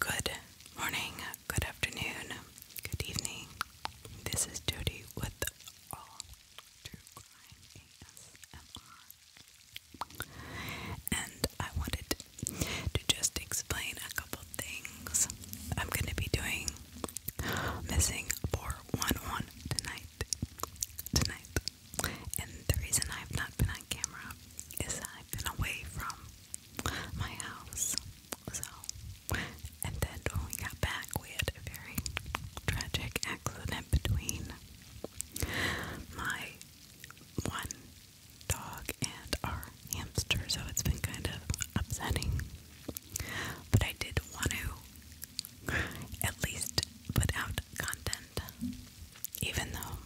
Good morning, good afternoon, good evening. This is Jody with All True Crime And I wanted to just explain a couple things. I'm going to be doing Missing 411 tonight. Tonight. And the reason I've not been on camera is I've been away from my house. So, and then when we got back, we had a very tragic accident between my one dog and our hamster, so it's been kind of upsetting. But I did want to at least put out content, even though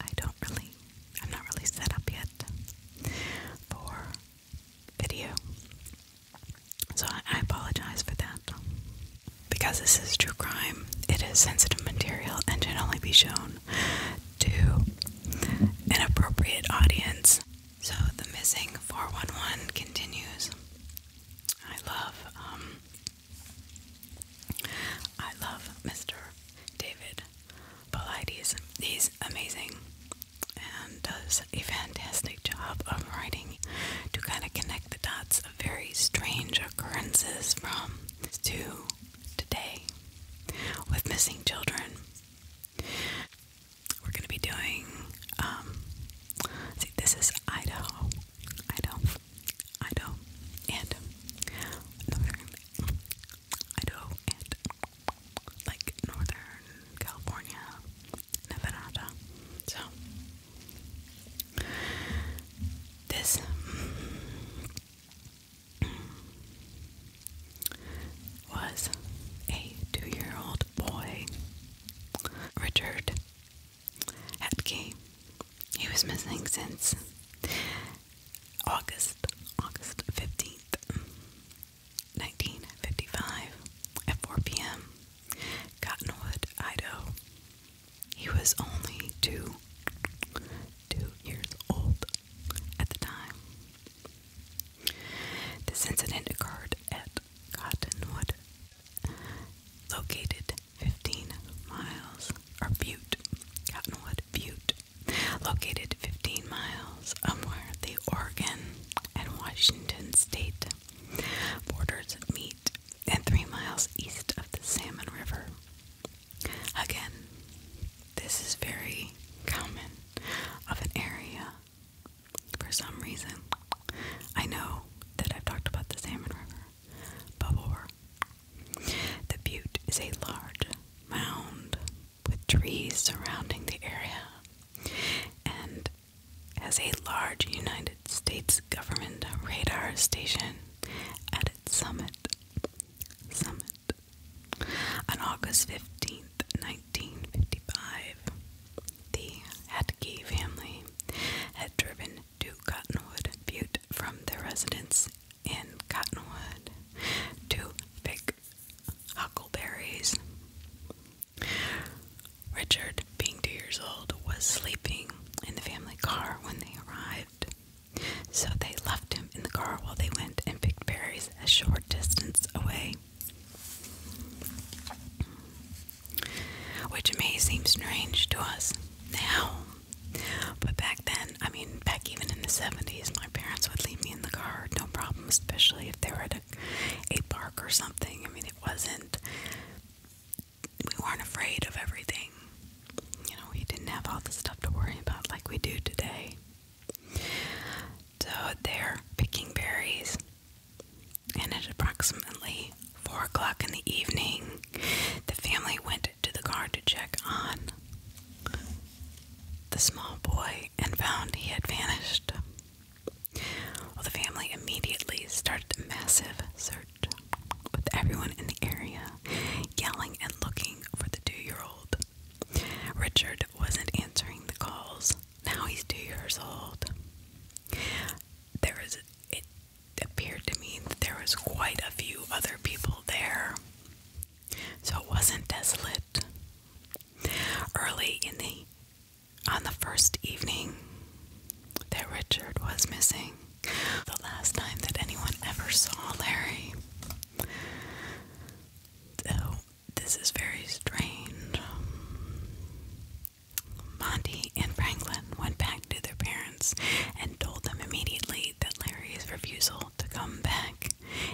I don't really, I'm not really set up yet for video. So I, apologize for that. Because this is true crime, it is sensitive material and can only be shown to an appropriate audience. So the missing 411 continues. I love, um, I love Mr. David Polides is amazing and does a fantastic job of writing to kind of connect the dots of very strange occurrences from to today with missing children. We're going to be doing, um, see, this is Idaho, Idaho, Idaho, and Idaho, and like Northern California, Nevada. So this was a two-year-old boy, Richard Hetke. He was missing since August, August 15th, 1955, at 4 p.m., Cottonwood, Idaho. He was only two, two years old at the time. This incident occurred at Cottonwood, located 15 miles, or Butte, Cottonwood Butte, Located 15 miles where the Oregon and Washington state borders meet and 3 miles east of the Salmon River. Again, this is very common of an area for some reason. I know that I've talked about the Salmon River before, the butte is a large mound with trees surrounding the area and has a large United States government radar station at its summit. Summit. On August 15th, 1955, the Hatkey family had driven to Cottonwood Butte from their residence in cottonwood, to pick huckleberries. Richard, being two years old, was sleeping in the family car when they arrived, so they left him in the car while they went and picked berries a short distance away. Which may seem strange to us now, but back then then, I mean, back even in the 70s, my parents would leave me in the car, no problem, especially if they were at a, a park or something. I mean, it wasn't, we weren't afraid of everything. You know, we didn't have all the stuff to worry about like we do today. So they're picking berries, and at approximately four o'clock in the evening, the family went to the car to check on the small boy and found he had vanished. the family immediately started a massive search with everyone in the area yelling and looking for the two year old. Richard wasn't answering the calls. Now he's two years old. There was, it appeared to me that there was quite a few other people there so it wasn't desolate. Early in the on the first evening that Richard was missing, the last time that anyone ever saw Larry. So this is very strange. Monty and Franklin went back to their parents and told them immediately that Larry's refusal to come back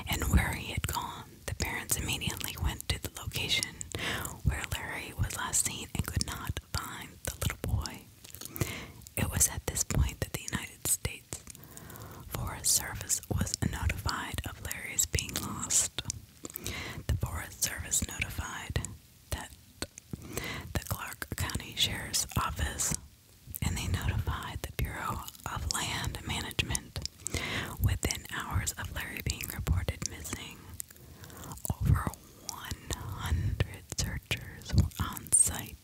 and where he had gone. The parents immediately went to the location where Larry was last seen and could not find the little boy. It was at this point that the United States Forest Service was notified of Larry's being lost. The Forest Service notified that the Clark County Sheriff's Office and they notified the Bureau of Land Management within hours of Larry being reported missing. Over 100 searchers were on site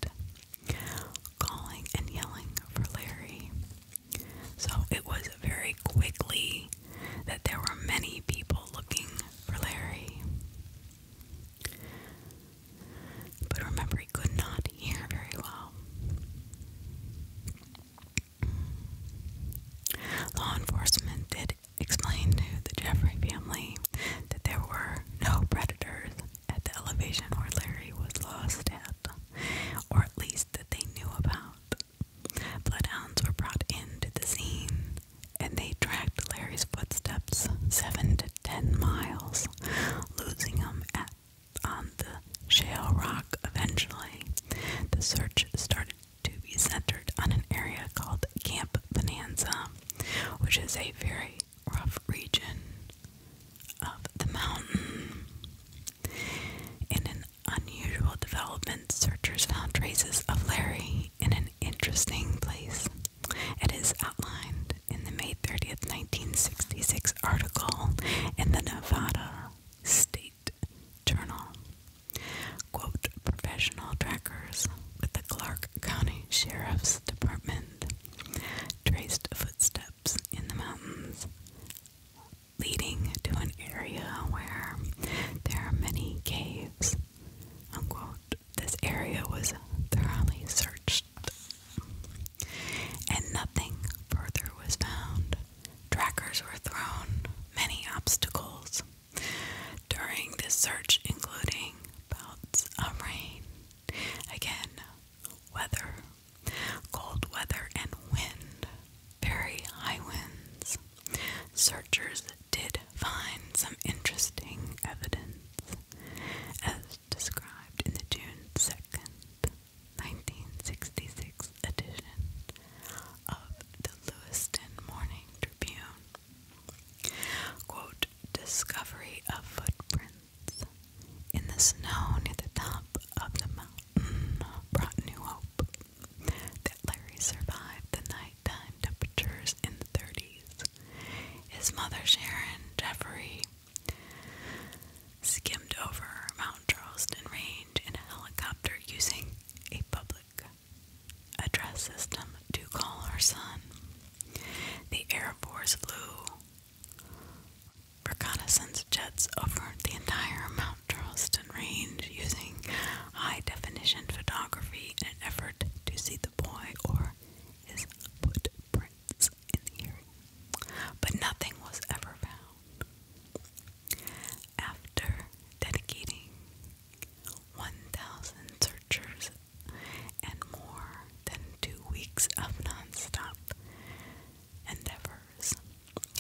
calling and yelling for Larry. So it was very quickly that there were many people looking for Larry. But remember, we could not hear very well. Law enforcement did explain to the Jeffrey family that there were no predators at the elevation where Larry was lost at, or at least that they knew about. Bloodhounds were brought into the scene and they tracked Larry's footsteps seven to ten miles, losing him at on the shale rock eventually. The search started to be centered on an area called Camp Bonanza, which is a very rough region of the mountain. In an unusual development, searchers found traces of Larry in an interesting place. It is outlined in the May 30th, 1966 article in the Nevada State Journal. Quote, professional trackers with the Clark County Sheriff's Department traced footsteps in the mountains leading to an area where there are many caves. Unquote. This area was thoroughly searched and nothing further was found. Trackers were thrown, many obstacles during this search, including bouts of rain. Again, weather, cold weather, and wind, very high winds. Searchers did find some interesting evidence, described in the June 2nd, 1966 edition of the Lewiston Morning Tribune. Quote, Discovery of footprints in the snow near the top of the mountain brought new hope that Larry survived the nighttime temperatures in the 30s. His mother, Sharon Jeffrey, skimmed over Mount Charleston Range in a helicopter using a public address system to call her son. The Air Force flew reconnaissance jets over the entire Mount Charleston Range using high definition photography in an effort to see the boy or his footprints in the area, but nothing was ever found. After dedicating 1,000 searchers and more than two weeks of nonstop endeavors,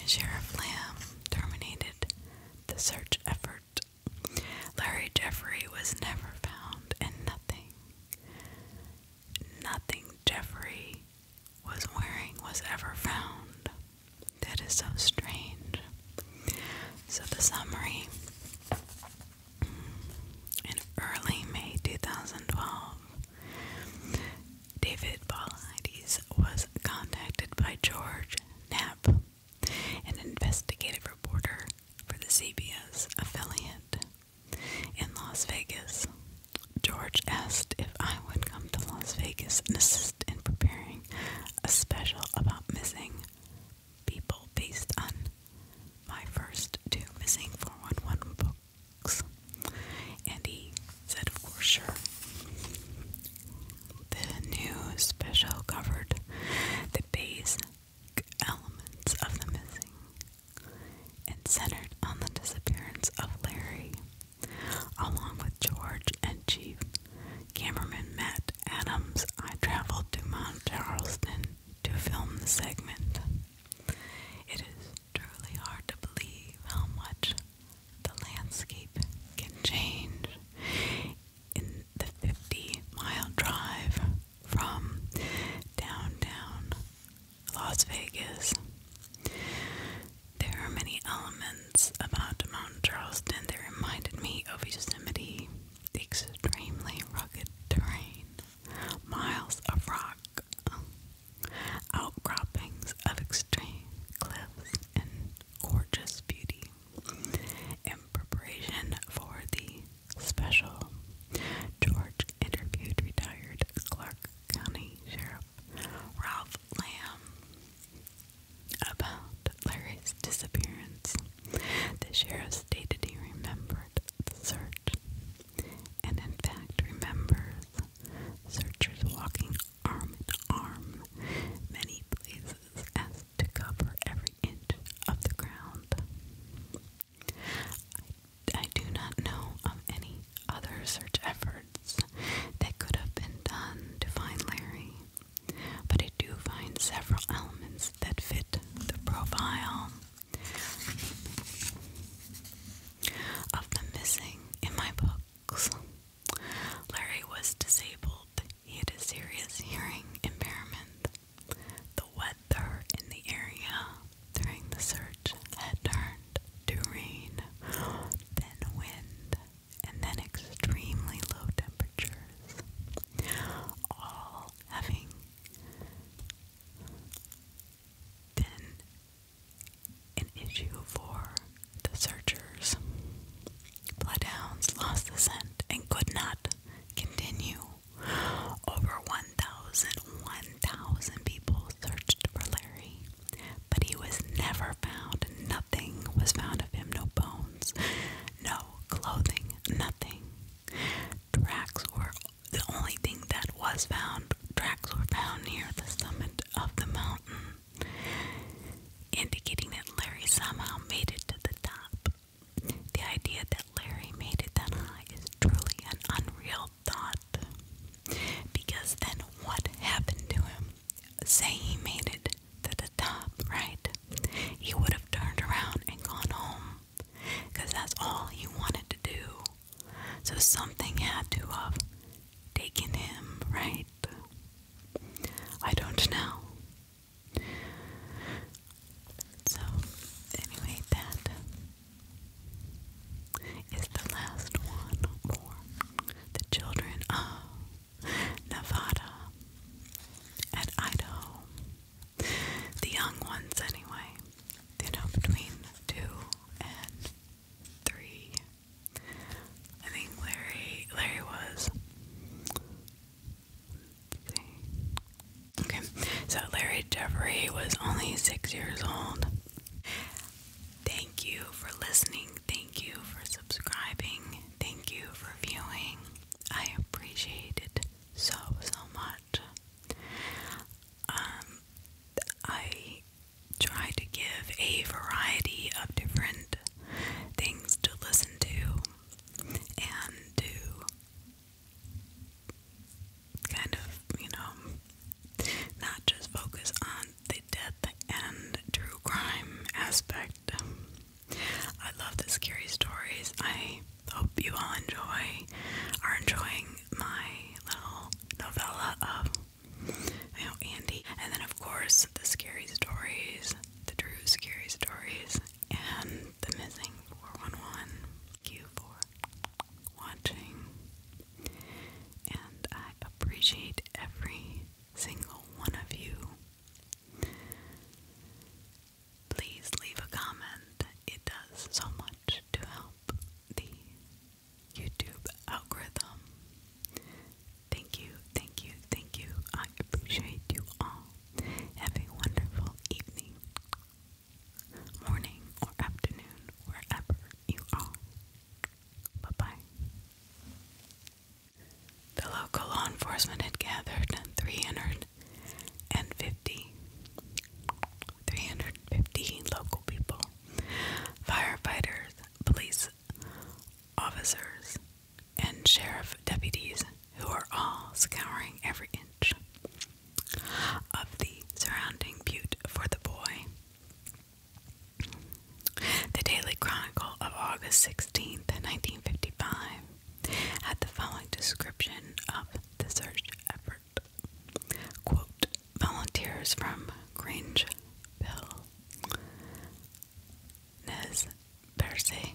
Sheriff Lamb terminated the search effort. Larry Jeffrey was never found, and nothing nothing Jeffrey was wearing was ever found. That is so strange. So, the summary in early May 2012, David Paulides was contacted by George Knapp, an investigative reporter for the CBS affiliate in Las Vegas, George asked if I would come to Las Vegas and assist in preparing a special about missing people based on my first two missing 411 books. And he said, of course, sure. The new special covered the basic elements of the missing and centered on the disappearance of Larry Along with George and Chief cameraman Matt Adams, I traveled to Mount Charleston to film the segment. It is truly hard to believe how much the landscape can change in the 50 mile drive from downtown Las Vegas. There are many elements about Mount Charleston that reminded me of Yosemite. The extremely rugged terrain, miles of rock, outcroppings of extreme cliffs, and gorgeous beauty. In preparation for the special, George interviewed retired Clark County Sheriff Ralph Lamb about Larry's disappearance. The sheriff stated he remembered the search and, in fact, remembers searchers walking arm in arm many places as to cover every inch of the ground. I, do not know of any other search efforts that could have been done to find Larry, but I do find several elements that fit the profile of the missing in my books. Larry was disabled. He had a serious hearing impairment. The weather in the area during the search had turned to rain, then wind, and then extremely low temperatures, all having been an issue for the searchers. Bloodhounds lost the scent and could not continue. Over 1,000 people searched for Larry. But he was never found. Nothing was found of him. No bones, no clothing, nothing. Tracks were the only thing that was found. Tracks were found near the summit of the mountain, indicating that Larry somehow made it to the top. The idea that Larry made it that high is truly an unreal thought. Because then what happened to him? Say he made it to the top, right? He would have turned around and gone home. Because that's all he wanted to do. So something had to have taken him, right? I don't know. So, anyway, that is the last one for the children of Nevada and Idaho. The young ones, anyway, you know, between two and three. I think Larry, Larry was. Okay, so Larry Jeffrey was only six years old. Thank you for listening. Thank you for subscribing. Thank you for viewing. I appreciate it so, so much. Um, I try to give a variety of different things to listen to and to kind of, you know, not just focus on the death and true crime aspect. I love the scary stories. I hope you all enjoy, are enjoying my little novella of you Andy. And then, of course, the scary stories, the true scary stories, and the missing 411. Thank you watching and I appreciate every single one of you. Please leave a comment, it does so much to help the YouTube algorithm. Thank you, thank you, thank you. I appreciate you all. Have a wonderful evening, morning, or afternoon, wherever you are. Bye bye. The local law enforcement had gathered 350, local people, firefighters, police officers, and sheriff deputies who are all scouring every inch of the surrounding butte for the boy. The Daily Chronicle of August 16th, 1955 had the following description of the search effort. volunteers from Grangeville, Nez Perce,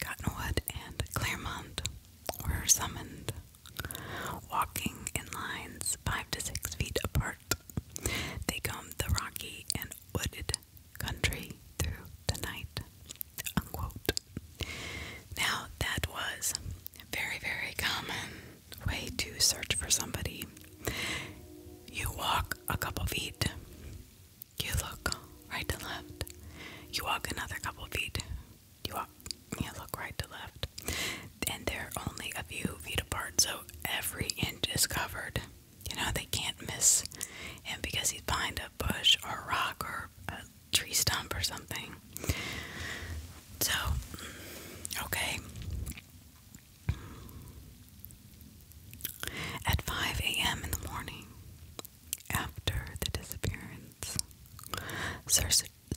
Cottonwood, and Claremont were summoned, walking in lines five to six feet apart. They come the rocky and wooded country through the night. Now, that was a very, very common way to search for somebody. You walk a couple feet, you look right to left, you walk another couple feet, you walk, you look right to left and they're only a few feet apart, so every inch is covered. You know, they can't miss him because he's behind a bush or a rock or a tree stump or something. So, okay. At 5 a.m. in the morning, after the disappearance,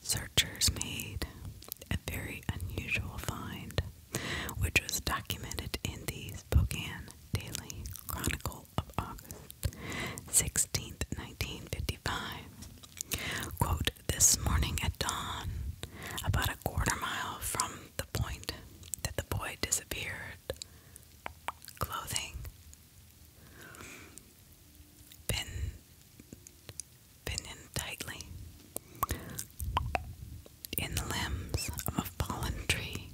searchers made a very unusual find which was documented in the Spokane Daily Chronicle of August 16, 1955. Quote, this morning at dawn, about a quarter mile from the point that the boy disappeared, clothing, pin, Pin in tightly in the limbs of a fallen tree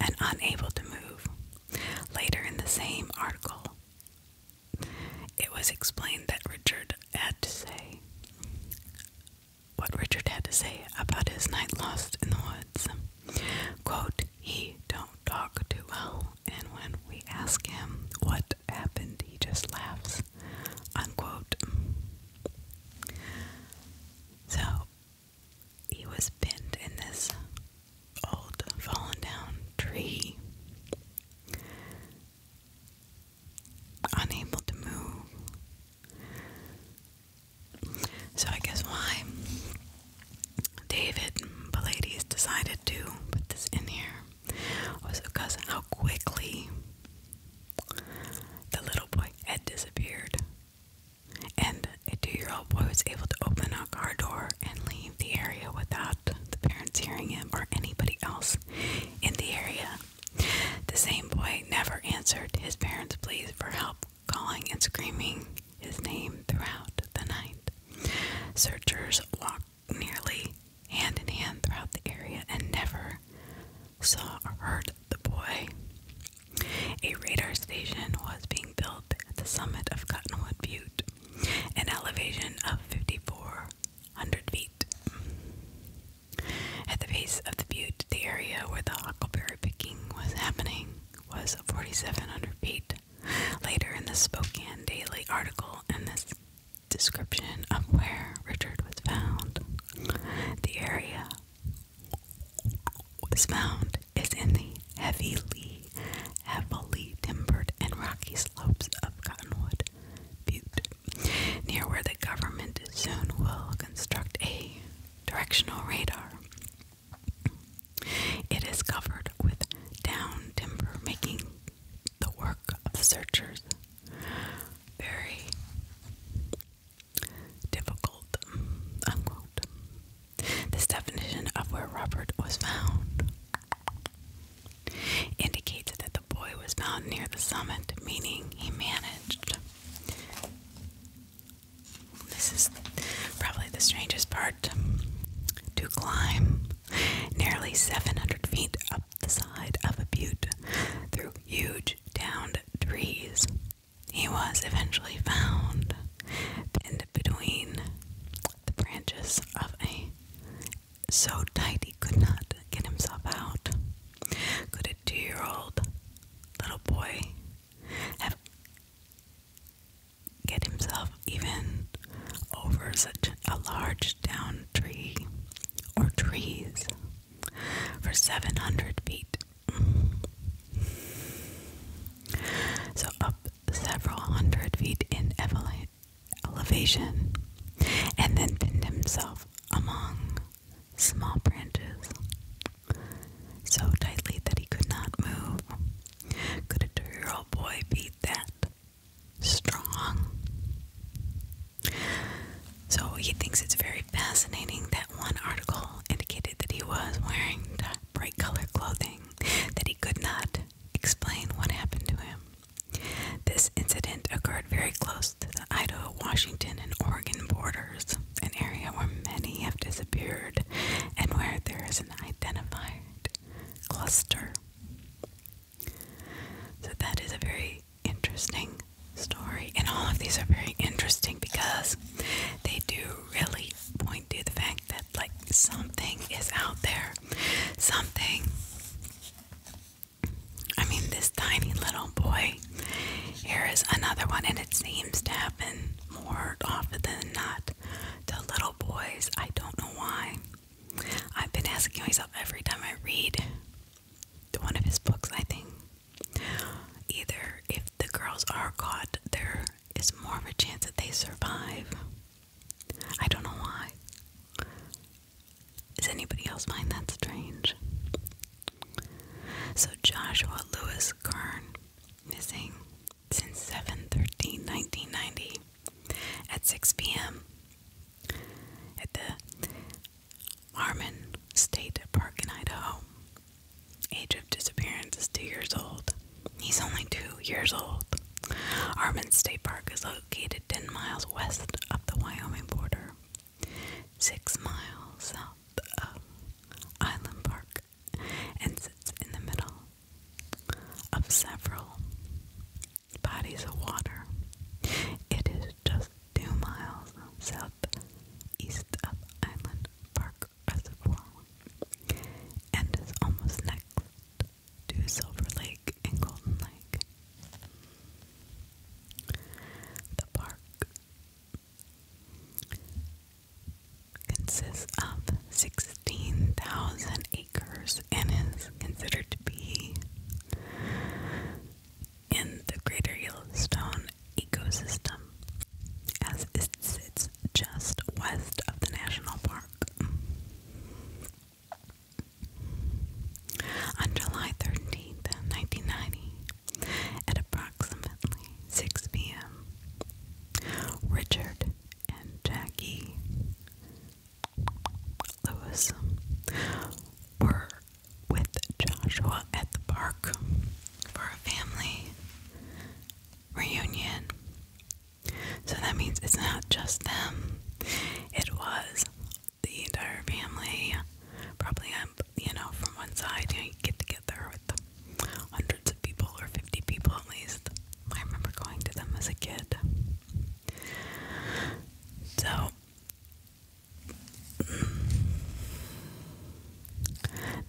and unable to move. Later in the same article, it was explained that Richard had to say what Richard had to say about his night lost in the woods. Quote, he don't talk too well, and when we ask him what happened, he just laughs. So he was bent in this old fallen down tree, unable to move. So I guess why David Pallades decided to put this in here was because how quickly the little boy had disappeared, and a two year old boy was able to open a car door and leave the area without the parents hearing him or anybody else in the area. The same boy never answered his parents' pleas for help, calling and screaming his name throughout the night. Searchers walked nearly hand in hand throughout the area and never saw or the boy. A radar station was being built at the summit of Cottonwood Butte, an elevation of 5,400 feet. At the base of the butte, the area where the huckleberry picking was happening was 4,700 feet. Later in the Spokane Daily article, and this description of where Richard was found, the area was found is in the heavily, heavily timbered and rocky slopes of Cottonwood Butte, near where the government soon will construct a directional radar. It is covered with down timber, making the work of searchers very difficult, This definition of where Robert was found indicates that the boy was found near the summit, meaning he managed. This is probably the strangest part to climb nearly 700 feet up the side of a butte through huge huge downed trees. He was eventually found pinned between the branches of a so tight he could not get himself out. Could a two year old little boy have get himself even over such a large down tree or trees? for 700 feet. So, up several hundred feet in elevation, and then pinned himself among small branches so tightly that he could not move. Could a two year old boy beat that? Strong. So he thinks it's very fascinating that one article indicated that he was wearing bright color clothing, that he could not explain what happened to him. This incident occurred very close to the Idaho, Washington, and Oregon borders, an area where many have disappeared and where there is an identified cluster. So that is a very interesting story, and all of these are very interesting because they do really point to the fact that, like, something is out there. Something. I mean, this tiny little boy. Here is another one, and it seems to happen more often than not to little boys. I don't know why. I've been asking myself every time I read one of his books, I think Either if the girls are caught, there is more of a chance that they survive. I don't know why. Is anybody else find that strange? So Joshua Lewis Kern missing since 7 1990 at 6 p.m. at the Marmon State Park in Idaho. Age of disappearance is two years old. He's only two years old. Armin State Park is located 10 miles west of the Wyoming border, six miles south of Island Park, and sits in the middle of several bodies of water. It is just two miles south east of Island Park Reservoir and is almost next to Silver Lake and Golden Lake. The park consists of 16,000 acres and is considered to be in the greater Yellowstone ecosystem, as it sits just west of the national park. On July 13th, 1990, at approximately 6 p.m., Richard and Jackie Lewis were with Joshua at the park for a family reunion. So that means it's not just them, it was the entire family. Probably, um, you know, from one side, you, know, you get together with hundreds of people or 50 people at least. I remember going to them as a kid. So,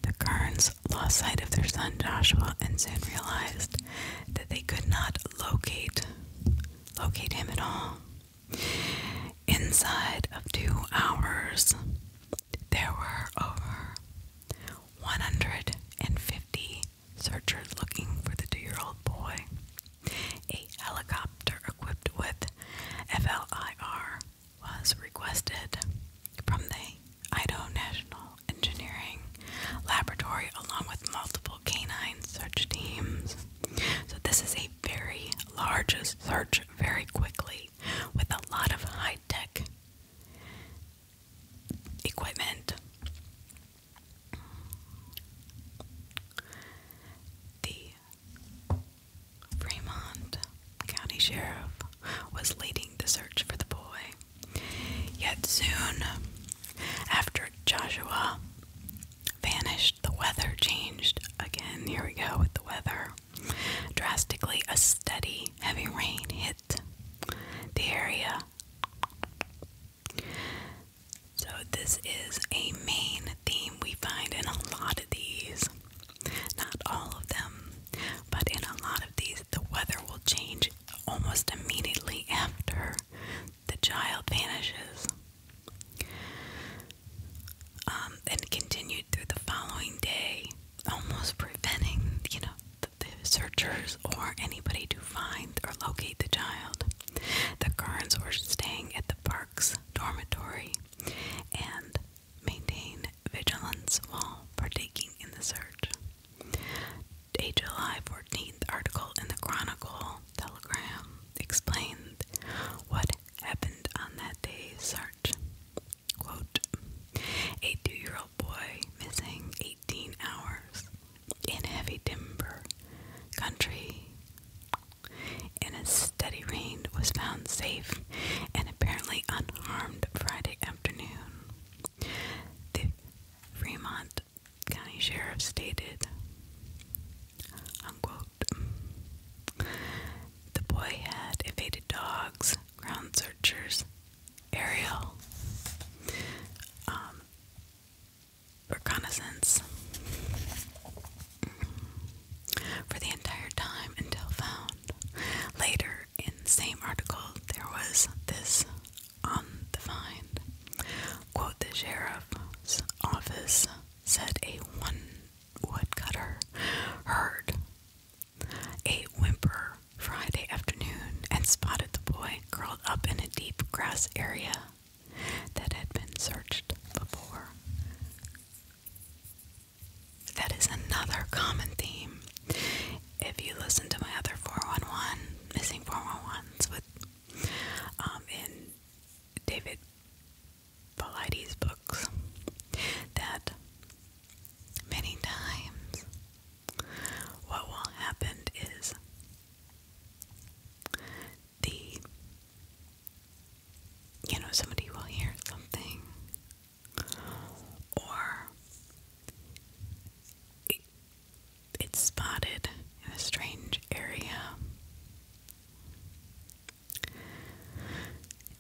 the Kerns lost sight of their son Joshua and soon realized that they could not locate locate him at all. Inside of two hours, there were over 150 searchers looking for the two-year-old boy. A helicopter equipped with FLIR was requested from the Idaho National Engineering Laboratory along with multiple canine search teams. So, this is a very large search very quickly with a lot of high tech equipment. The Fremont County Sheriff was leading the search for the boy. Yet soon after Joshua vanished, the weather changed again. Here we go with the weather. Drastically, a steady, heavy rain hit the area. So, this is a main theme we find in a lot of these. Not all of them, but in a lot of these, the weather will change almost immediately after the child vanishes. Um, and continued through the following day, almost preventing, you know, the, searchers or anybody to find or locate the child. The Kerns were staying at the park's dormitory, and Maintain vigilance while partaking in the search. July 14th article in the Chronicle Telegram explained what happened on that day's search. a two-year-old boy missing 18 hours in heavy timber country in a steady rain was found safe and apparently unharmed Friday afternoon. The Fremont County Sheriff stated, unquote, the boy had evaded dogs, ground searchers, aerial, um, reconnaissance, for the entire time until found. Later, in the same article, there was this on the find. Quote, the sheriff's office said a one woodcutter heard a whimper Friday afternoon and spotted the boy curled up in a deep grass area that had been searched before. That is another common theme. If you listen to my other 411, missing 411s with, um, in David Paulides books, that many times what will happen is the, you know, somebody will hear something or it's spotted in a strange area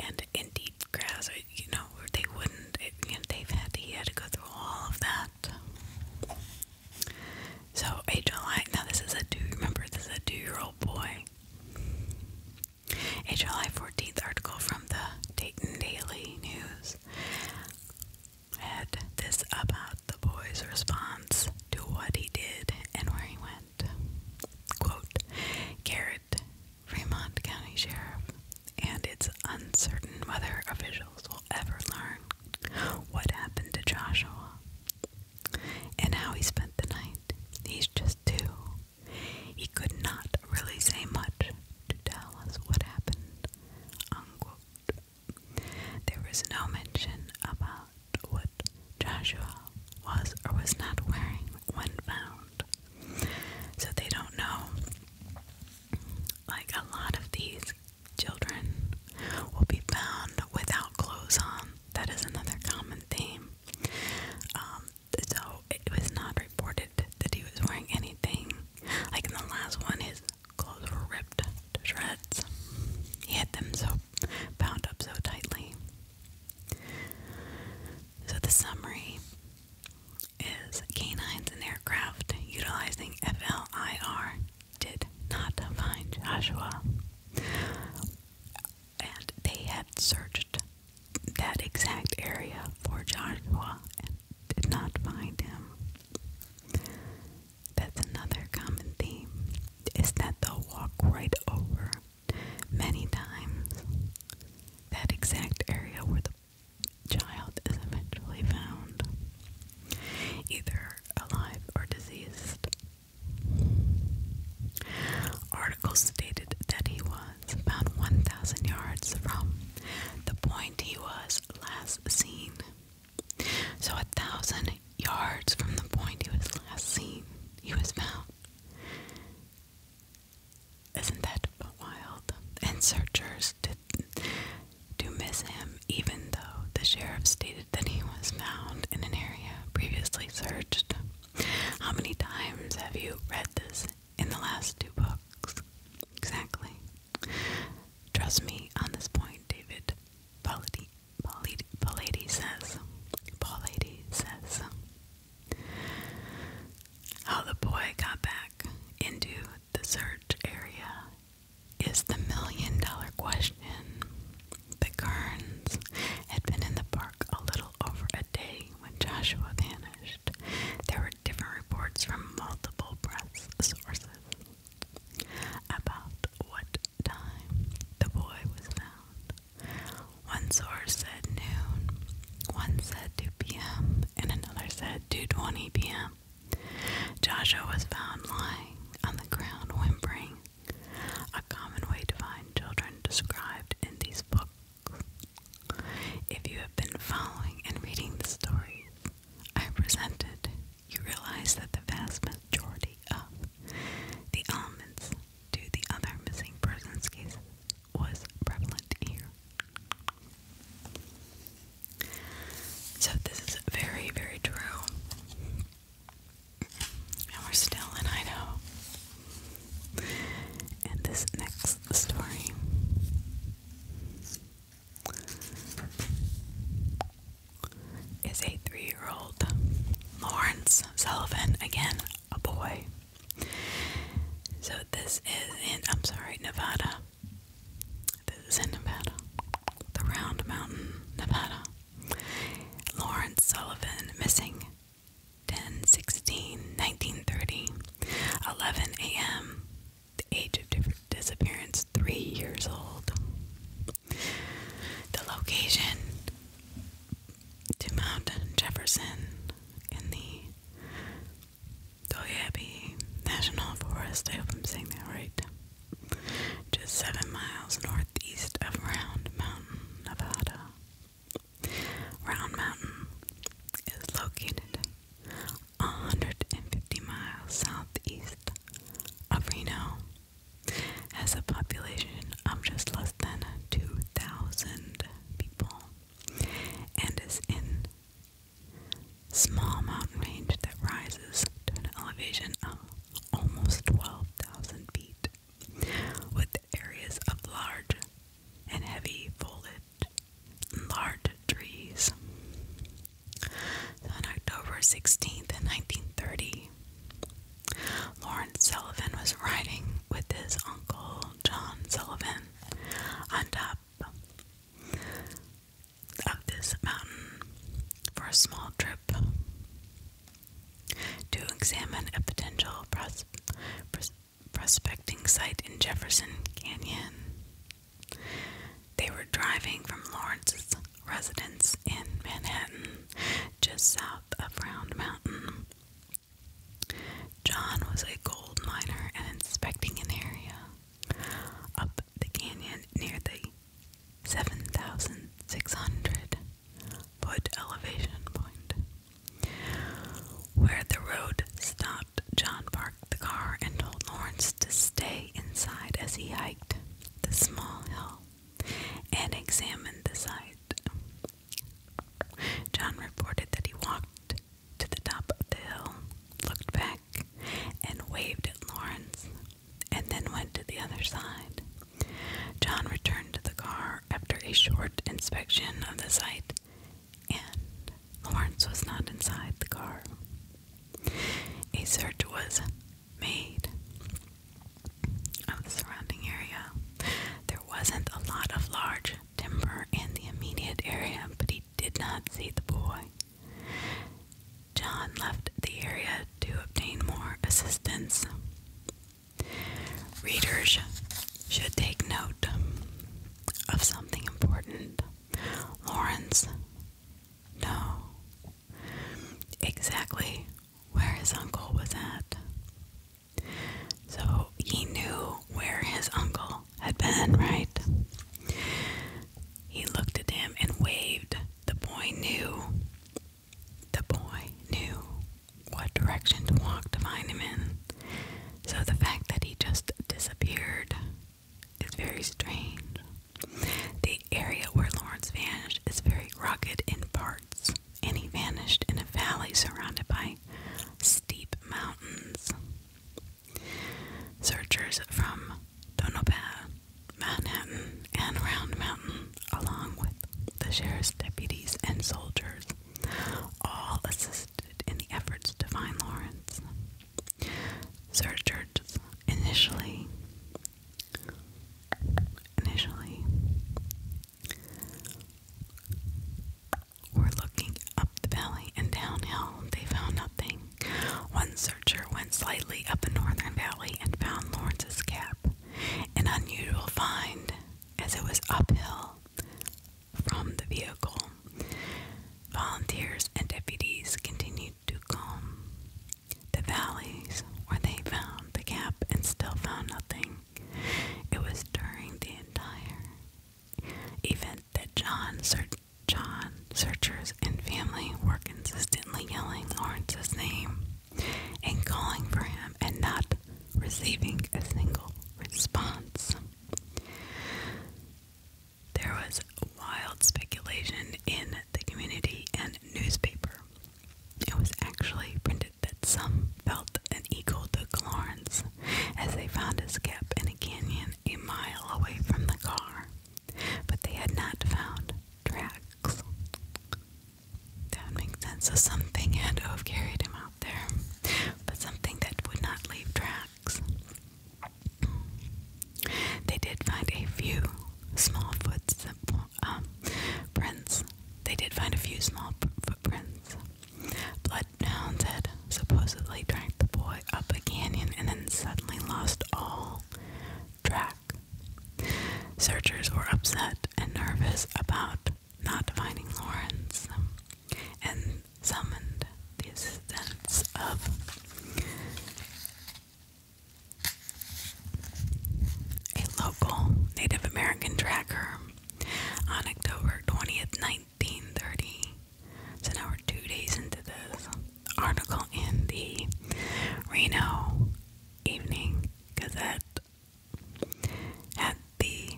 and in deep grass you know they wouldn't it, they've had to, go through all of that so HLI now this is a two remember this is a two year old boy a July 14th article from the Dayton Daily News had this about the boy's response to what he did and where he went. Quote Garrett, Fremont County Sheriff, and it's uncertain whether officials will ever learn what happened to Joshua and how he spent the night. He's just two. He could not really say much to tell us what happened. There is no mention about what Joshua was or was not wearing when found. So they don't know. Like a lot of these children will be found without clothes on. That is another common theme. Um, so it was not reported that he was wearing anything. Like in the last one, his clothes were ripped to shreds. He had them so bound up so tightly. So the summary is canines and aircraft utilizing FLIR did not find Joshua and they had searched that exact area for Joshua and did not find him. That's another common theme is that they'll walk right over many times that exact area where the child is eventually found, either alive or diseased articles stated that he was about 1,000 yards from the point he was last seen. So, a thousand yards from the point he was last seen, he was found. Isn't that wild? And searchers did do miss him, even though the sheriff stated that he was found in an area previously searched. How many times have you read this in the last two books. Exactly. Trust me on this point, David. Polady, Polady, Polady says, Polady says, how the boy got back into the search area is the million dollar question. The Kearns had been in the a little over a day when Joshua vanished. There were different reports from multiple press sources about what time the boy was found. One source said noon, one said 2 p.m., and another said 2:20 p.m. Joshua was found lying on the ground whimpering. A common way to find children described in these books if you have been following and reading the stories I presented, you realize that the vast majority of the elements to the other missing persons cases was prevalent here. So this is very, very true. And we're still in Idaho. And this next story is a three year old Lawrence Sullivan, again, a boy. So this is in, I'm sorry, Nevada. This is in Nevada, the Round Mountain, Nevada. Lawrence Sullivan missing 10, 16, 1930, 11 a.m., the age of different disappearance, three years old. The location to Mount Jefferson in the Doyabe National Forest. I hope I'm saying that right. Just seven miles northeast of Round Mountain, Nevada. Round Mountain is located 150 miles southeast of Reno, has a population of just less than 2,000 people, and is in small mountain range that rises to an elevation of almost 12,000 feet with areas of large and heavy foliage lard trees. on October 16th, in 1930, Lawrence Sullivan was riding with his uncle John Sullivan on top of this mountain for a small trip to examine a potential pros prospecting site in Jefferson Canyon. They were driving from Lawrence's residence in Manhattan, just south of Round Mountain. John was a gold miner and inspecting an area up the canyon near the 7,600 foot elevation point. Where the road stopped, John parked the car and told Lawrence to stay inside as he hiked the small hill and examined the site. John reported that he walked to the top of the hill, looked back, and waved at Lawrence, and then went to the other side. John returned to the car after a short inspection of the site and Lawrence was not inside the car. A search was made of the surrounding area. There wasn't a lot of large timber in the immediate area, but he did not see the boy. John left the area to obtain more assistance. Readers should take note of something important. Lawrence, no. Exactly where his uncle was at. So he knew where his uncle had been, right? He looked at him and waved. The boy knew. The boy knew what direction to walk to find him in. So the fact that he just disappeared is very strange. The area where Lawrence vanished is very rugged in parts, and he vanished in a valley surrounded by steep mountains. Searchers from Tonopah, Manhattan, and Round Mountain, along with the sheriff's deputies and soldiers, all assisted in the efforts to find Lawrence. searchers Church's initially initially were looking up the valley and downhill. They found nothing. One searcher went slightly up the northern valley and found Lawrence's cap. An unusual find, as it was uphill, from the vehicle. Volunteers and deputies continued to comb the valleys where they found the gap and still found nothing. It was during the entire event that John, Sir John searchers and family were consistently yelling Lawrence's name and calling for him and not receiving a single response. There was wild speculation in the community and newspaper. It was actually printed that some felt an eagle took Lawrence as they found his cap in a canyon a mile away from the car, but they had not found tracks. That would make sense. So something had to have carried him out there, but something that would not leave tracks. They did find a few small footprints. Um, they did find a few small footprints. Blood Bloodhounds had supposedly dragged the boy up a canyon and then suddenly lost all track. Searchers were upset and nervous about not finding Lawrence, and summoned the assistance of a local Native American tracker on October 20th, 1930. So now we're two days into this article in the Reno Evening Gazette had the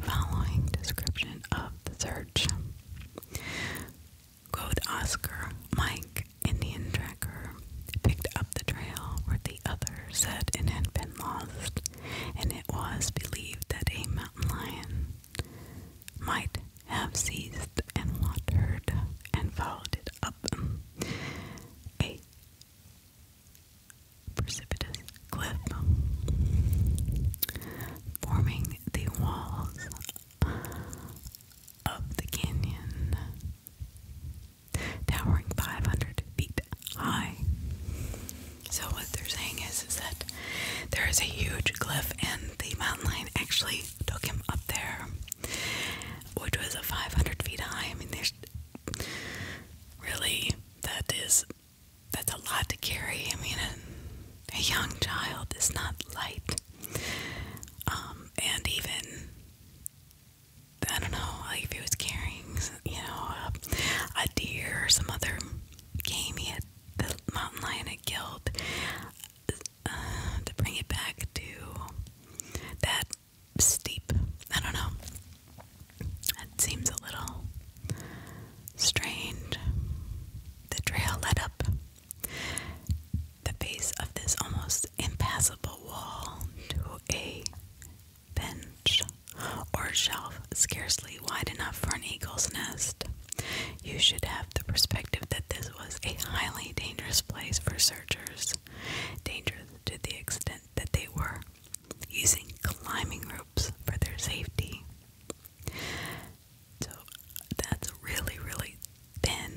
Following description of the search Goat Oscar, Mike, Indian tracker, picked up the trail where the other said it had been lost, and it was believed that a mountain lion might have seized and wandered and followed it up a precipitous cliff forming the walls of the canyon, towering 500 feet high. So, what they're saying is, is that there is a huge cliff, and the mountain lion actually took him up there, which was a 500 feet high. I mean, there's really that is that's a lot to carry. I mean, a, young child is not light. Um, and even, I don't know, if he was carrying, you know, a, deer or some other game he had, the mountain lion had killed, uh, to bring it back to that steep, I don't know. That seems a little strained. The trail led up the base of this almost impassable wall to a bench or shelf scarcely wide enough for an eagle's nest. You should have the perspective that this was a highly dangerous place for searchers, dangerous to the extent that they were using climbing ropes for their safety. So that's really, really thin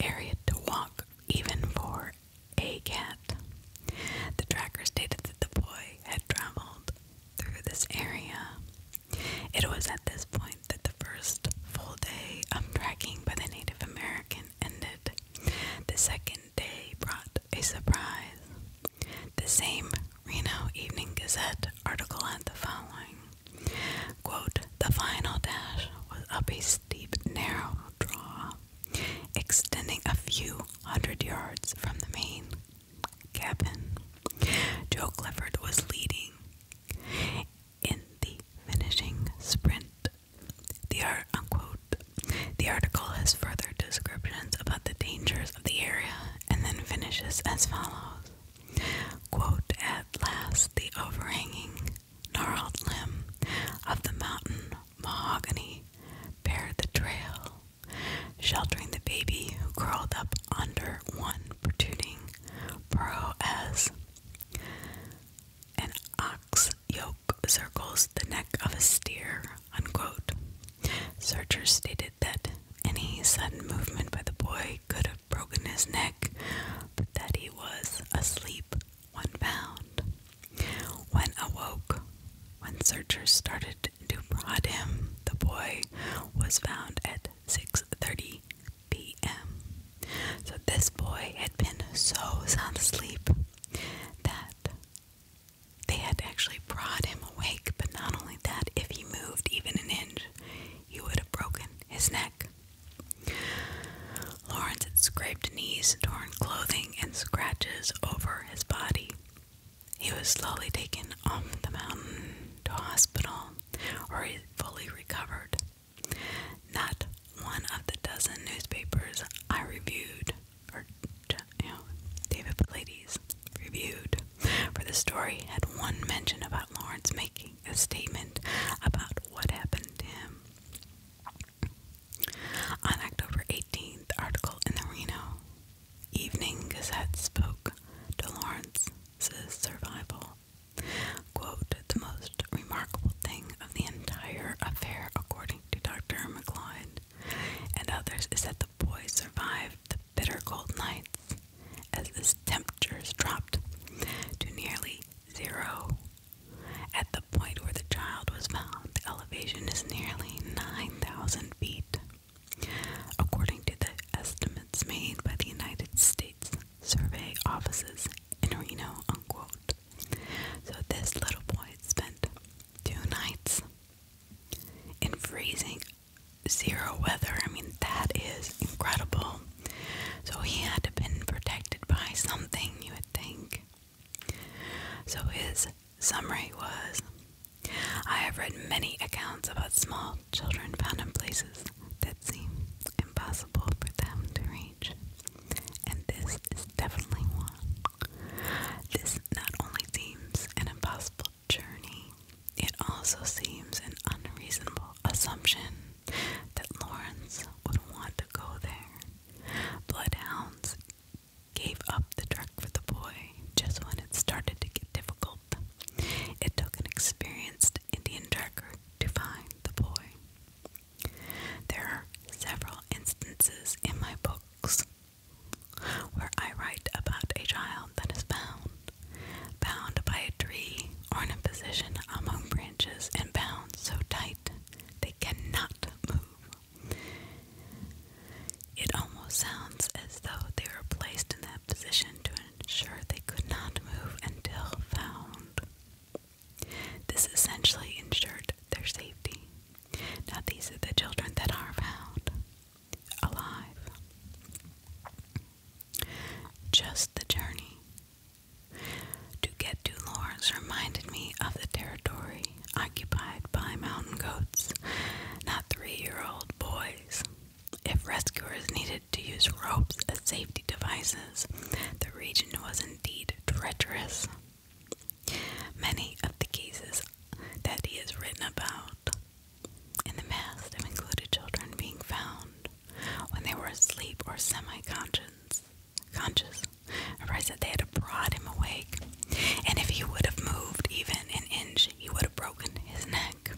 area to walk, even for a cat. The tracker stated that the boy had traveled through this area. It was at this point that the first full day of tracking by the Native American ended. The second day brought a surprise. The same Reno Evening Gazette article had the following quote, The final dash was up a steep, narrow draw, extending a few hundred yards from the main cabin. Joe Clifford was leading in the finishing sprint. The The article has further descriptions about the dangers of the area and then finishes as follows Quote, At last, the overhanging gnarled limb of the mountain mahogany bared the trail, sheltering the baby who curled up under one protruding burrow as an ox yoke circles the neck of a steer. Unquote. Searchers stated that any sudden movement by the boy could have broken his neck, but that he was asleep when found. When awoke, when searchers started to prod him, the boy was found at 6:30 p.m. So this boy had been so sound asleep that they had actually brought him awake, but not only that, if he moved even an inch, he would have broken his neck. Lawrence had scraped knees, torn clothing, and scratches over his body. He was slowly taken off the mountain to hospital, where he fully recovered. Not one of the dozen newspapers I reviewed, or you know, David Pilates reviewed, for the story had one mention about Lawrence making a statement about what happened to him. On October 18th, article in the Reno Evening Gazette spoke to Lawrence's survival. Quote, the most remarkable thing of the entire affair, according to Dr. McLeod and others, is that the boy survived the bitter cold nights as the temperatures dropped to nearly zero. At the point where the child was found, the elevation is nearly 9,000 feet, according to the estimates made by the United States Survey Offices in Reno, So this little boy spent two nights in freezing zero weather. I mean, that is incredible. So he had to been protected by something, you would think. So his summary was I have read many accounts about small children found in places that seem impossible for them to reach. And this is definitely one. This not only seems an impossible journey. It also seems an unreasonable assumption that Lawrence would want to go there. Bloodhounds gave up the truck for the boy just when it started to get difficult. It took an experienced Indian tracker to find the boy. There are several instances in my books where I write about a child that is found bound by a tree or in a position among branches and bound so tight they cannot move. It almost sounds as though they were placed in that position to ensure they could not move until found. This essentially ensured their safety. Now, these are the children that are found alive. Just the journey. To get to Lawrence reminded me of the territory occupied by mountain goats, not three year old boys. If rescuers needed to use ropes as safety devices, the region was indeed treacherous. Many of the cases that he has written about in the mass have included children being found when they were asleep or semi-conscious, conscious, comprised that they had brought him awake, and if he would have moved even an inch, he would have broken his neck,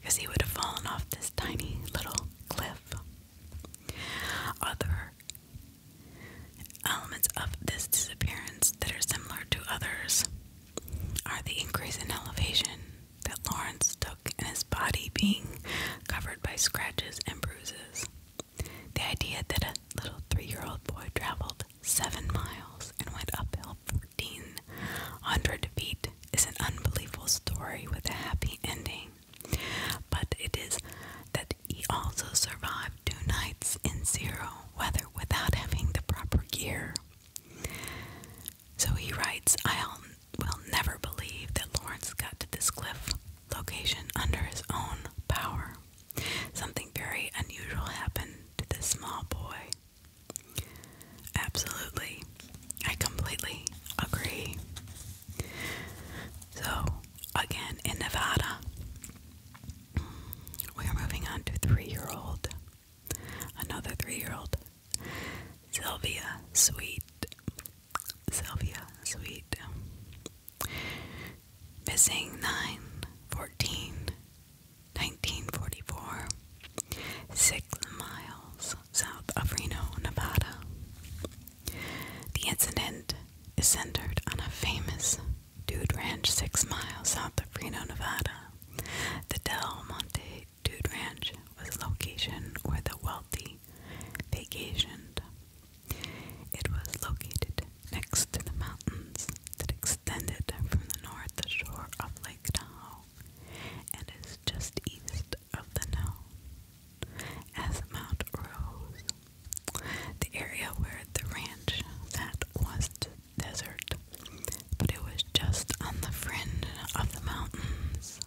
because he would have fallen off this tiny little cliff. Other elements of this disappearance that are similar to others are the increase in elevation that Lawrence took and his body being covered by scratches and bruises. The idea that a little three year old boy traveled seven miles and went uphill 1,400 feet is an unbelievable story with a happy ending. But it is that he also survived two nights in zero weather without having the proper gear. So he writes, I will never believe that Lawrence got to this cliff location under his own power. Something very unusual happened to this small boy. Absolutely. I completely agree. So, again, in Nevada, we are moving on to three year old Another three year old. Sylvia Sweet. Sylvia Sweet. Missing 9 1944. Six miles south of Reno, Nevada. The incident is centered on a famous dude ranch six miles south of Reno, Nevada. The Del Monte Dude Ranch was a location where the wealthy vacationed. It was located next to the mountains that extended from the north shore of Lake Tahoe and is just east of the known as Mount Rose. The area where the ranch sat was desert, but it was just on the fringe of the mountains.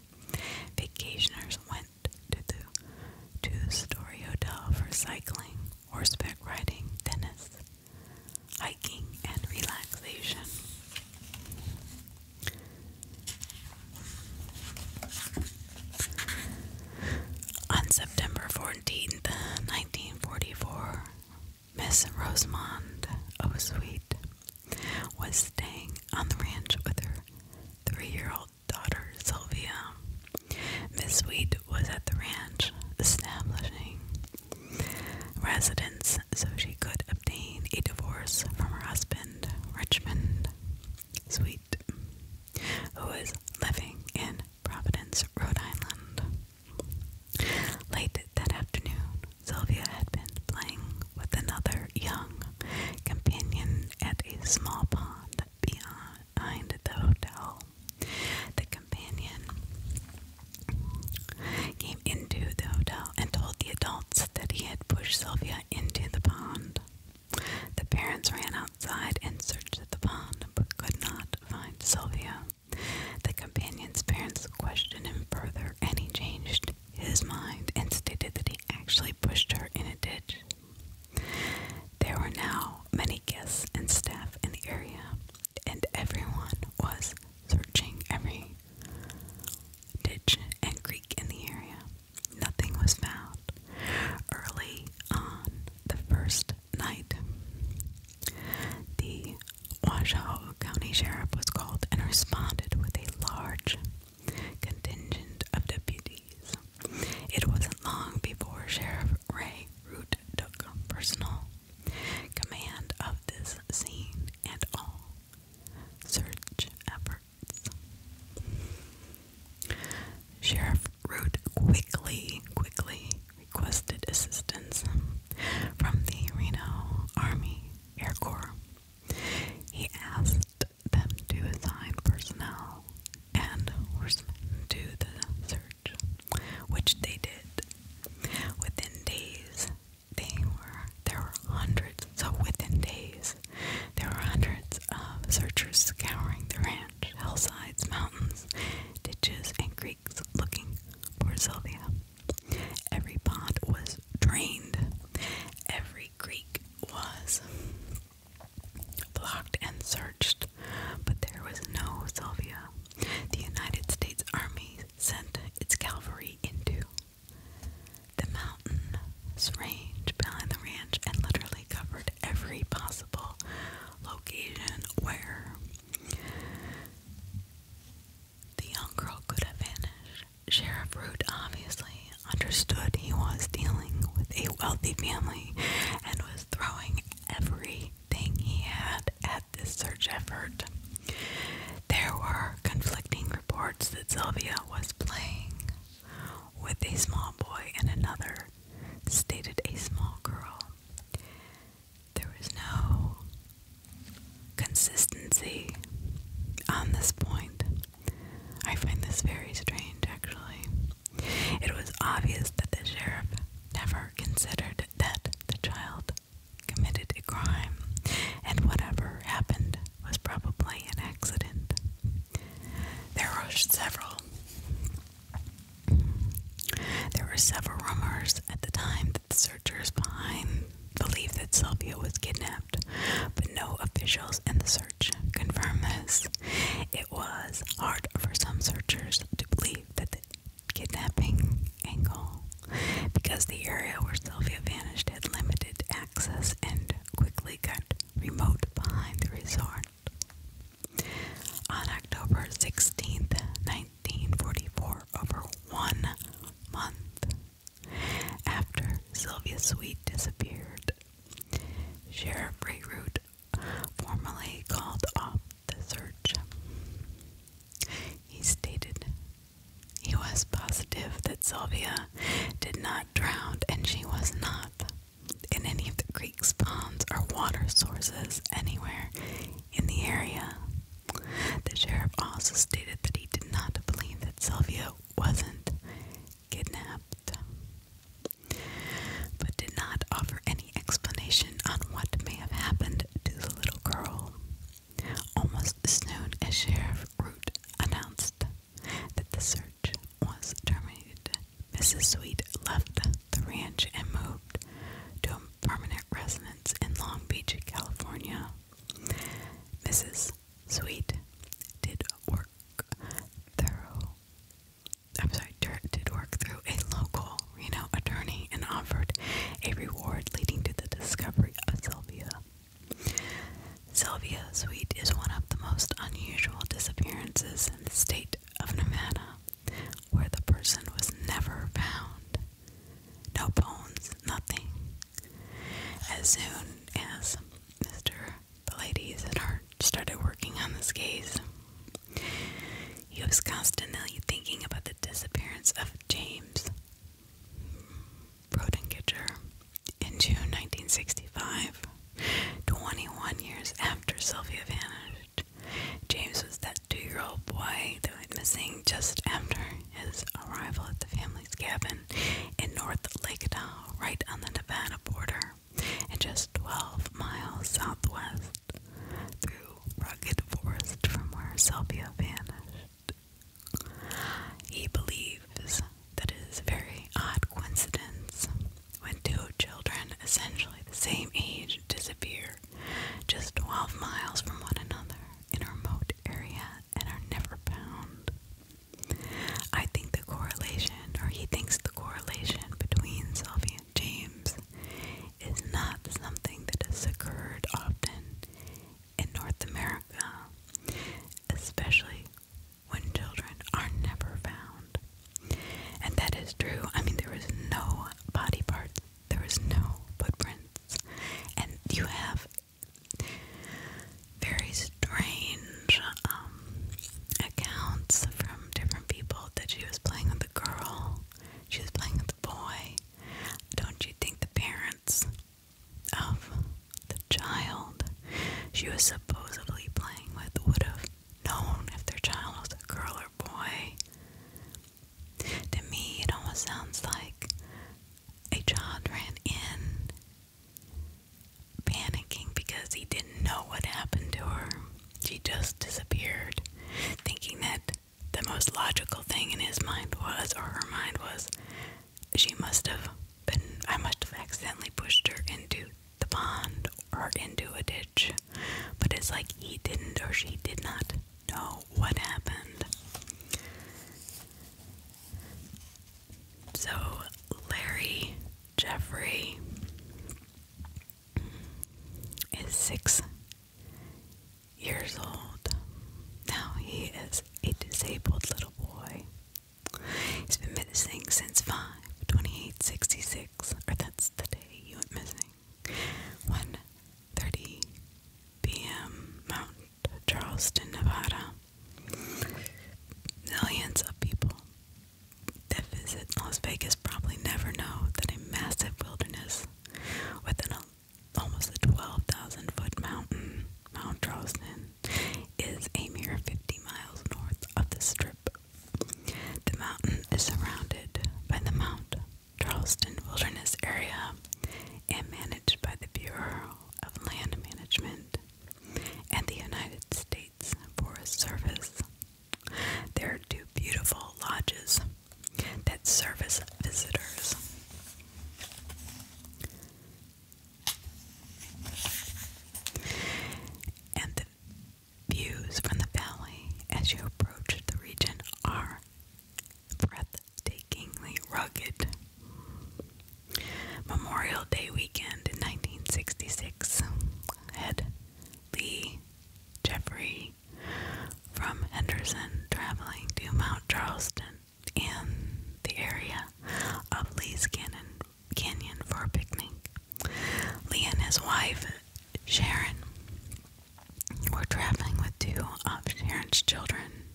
Vacationers went to the, to the Story Hotel for cycling, horseback riding, tennis, hiking, and relaxation. On September 14th, 1944, Miss Rosamond Sweet, was staying on the ranch with her three year old daughter Sylvia. Miss Sweet was at the ranch establishing residence so she could obtain a divorce from her husband, Richmond Sweet, who was living in Providence, Rhode Island. Late that afternoon, Sylvia had been playing with another young companion at a small pond behind the hotel. The companion came into the hotel and told the adults that he had pushed Sylvia into the pond. The parents ran outside and searched the pond but could not find Sylvia. The companion's parents questioned him further and he changed his mind and stated that he actually pushed her in a ditch. There were now many guests and staff in the area, and everyone was searching every ditch and creek in the area. Nothing was found. Early on the first night, the Washoe County Sheriff was called and responded with a large contingent of deputies. It wasn't long before Sheriff Ray Root took personal command of this scene and all search efforts. Sheriff Root quickly, quickly requested assistance from the Reno Army Air Corps he asked them to assign personnel and horsemen to the search, which they did. Within days, there were hundreds. So within days, there were hundreds of searchers scouring the ranch, hillsides, mountains, ditches, and creeks, looking for Sylvia. Every pond was drained. Every creek was blocked and searched, but there was no Sylvia. The United States Army sent its cavalry into the mountain's range behind the ranch and literally covered every possible location where the young girl could have vanished. Sheriff Root obviously understood he was dealing with a wealthy family and was throwing everything he had at this search effort. There were conflicting reports that Sylvia was playing with a small boy and another, stated a small girl. There was no consistency on this point. I find this very strange, actually. It was obvious that the sheriff never considered that the child committed a crime, and whatever happened was probably an accident. There were several. There were several rumors at the time that the searchers behind believed that Sylvia was kidnapped but no officials in the search confirm this. It was hard for some searchers to believe that the kidnapping angle, because the area where Sylvia vanished had limited access and quickly got remote behind the resort. On October 16th, 1944, over one month after Sylvia Sweet disappeared, Sheriff Rayroot formally called off the search. He stated he was positive that Sylvia did not drown and she was not in any of the creeks, ponds, or water sources anywhere in the area. The sheriff also stated that he did not believe that Sylvia wasn't kidnapped, but did not offer any explanation on what may have happened to the little girl. Almost as soon as Sheriff Root announced that the search was terminated, Mrs. Sweet left the ranch and moved to a permanent residence in Long Beach, California. Mrs. Sweet did work through. I'm sorry, did work through a local Reno attorney and offered a reward leading to the discovery of Sylvia. Sylvia Sweet is one of the most unusual disappearances in the state of Nevada, where the person was never found. No bones, nothing. As soon as Mr. the ladies Pallades had started working on this case, he was constantly thinking about the disappearance of James Brodingiger in June 1965, 21 years after Sylvia vanished. James was that two year old boy that went missing just after his arrival at the family's cabin in North Lakedow, right on the Nevada border, and just 12 miles southwest through rugged forest from where Sylvia vanished. He believes that it is a very odd coincidence when two children, essentially the same age, disappear just 12 miles from one another in a remote area and are never found. I think the correlation, or he thinks the correlation between Sylvia and James is not something that has occurred often in North America, especially when children are never found. And that is true. I mean, there was no body parts, there was no footprints, and you have very strange um, accounts from different people that she was playing with the girl, she was playing with the boy. Don't you think the parents of the child she was supposedly playing with would have known if their child was a girl or boy? To me, it almost sounds like a child ran in panicking because he didn't know what happened to her. She just disappeared, thinking that the most logical thing in his mind was, or her mind was, she must have been, I must have accidentally pushed her into the pond or into a ditch. But it's like he didn't or she did not know what happened. So, Larry Jeffrey is six years old. Now he is a disabled little boy. He's been missing since 5 2866, or that's the day he went missing. 1 p.m. Mountain Charleston, Nevada. Millions of people that visit Las Vegas probably never know that a massive wilderness with an almost a 12,000 foot mountain, Mount Charleston, is a mere 50 miles north of the strip. The mountain is surrounded by the Mount Charleston Wilderness Area and managed by the Bureau of Land Management and the United States Forest Service. There are two beautiful lodges that service visitors. And the views from the valley as you approach the region are breathtakingly rugged. Memorial Day weekend in 1966 had Lee Jeffrey from Henderson traveling to Mount Charleston and the area of Lee's Canyon, Canyon for a picnic. Lee and his wife, Sharon, were traveling with two of Sharon's children,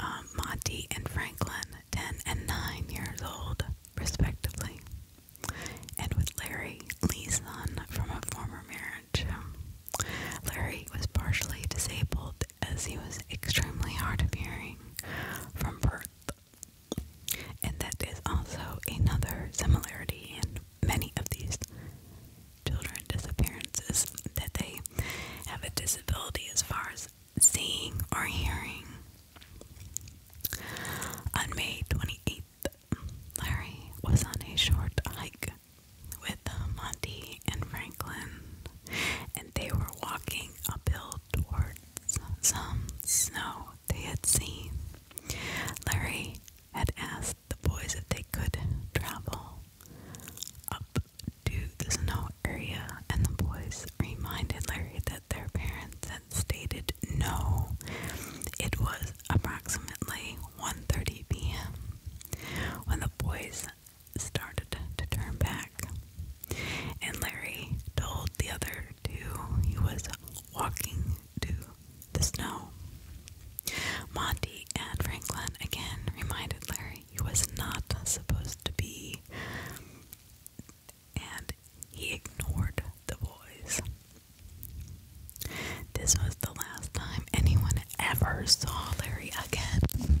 um, Monty and Franklin, 10 and 9 years old, respectively. And with Larry, Lee's son from a former marriage. Larry was partially disabled as he was extremely hard of hearing from birth. And that is also another similarity in many of these children disappearances that they have a disability as far as seeing, or hearing. On May 28th, Larry was on a short hike with uh, Monty and Franklin, and they were walking uphill towards some snow they had seen. Larry had asked the boys if they could travel up to the snow area, and the boys reminded Larry that their parents had stated no. It was approximately 1:30 p.m. when the boys started to turn back, and Larry told the other two he was walking to the snow. Monty and Franklin again reminded Larry he was not supposed to be and he ignored the boys. This was the last time anyone ever saw Larry again.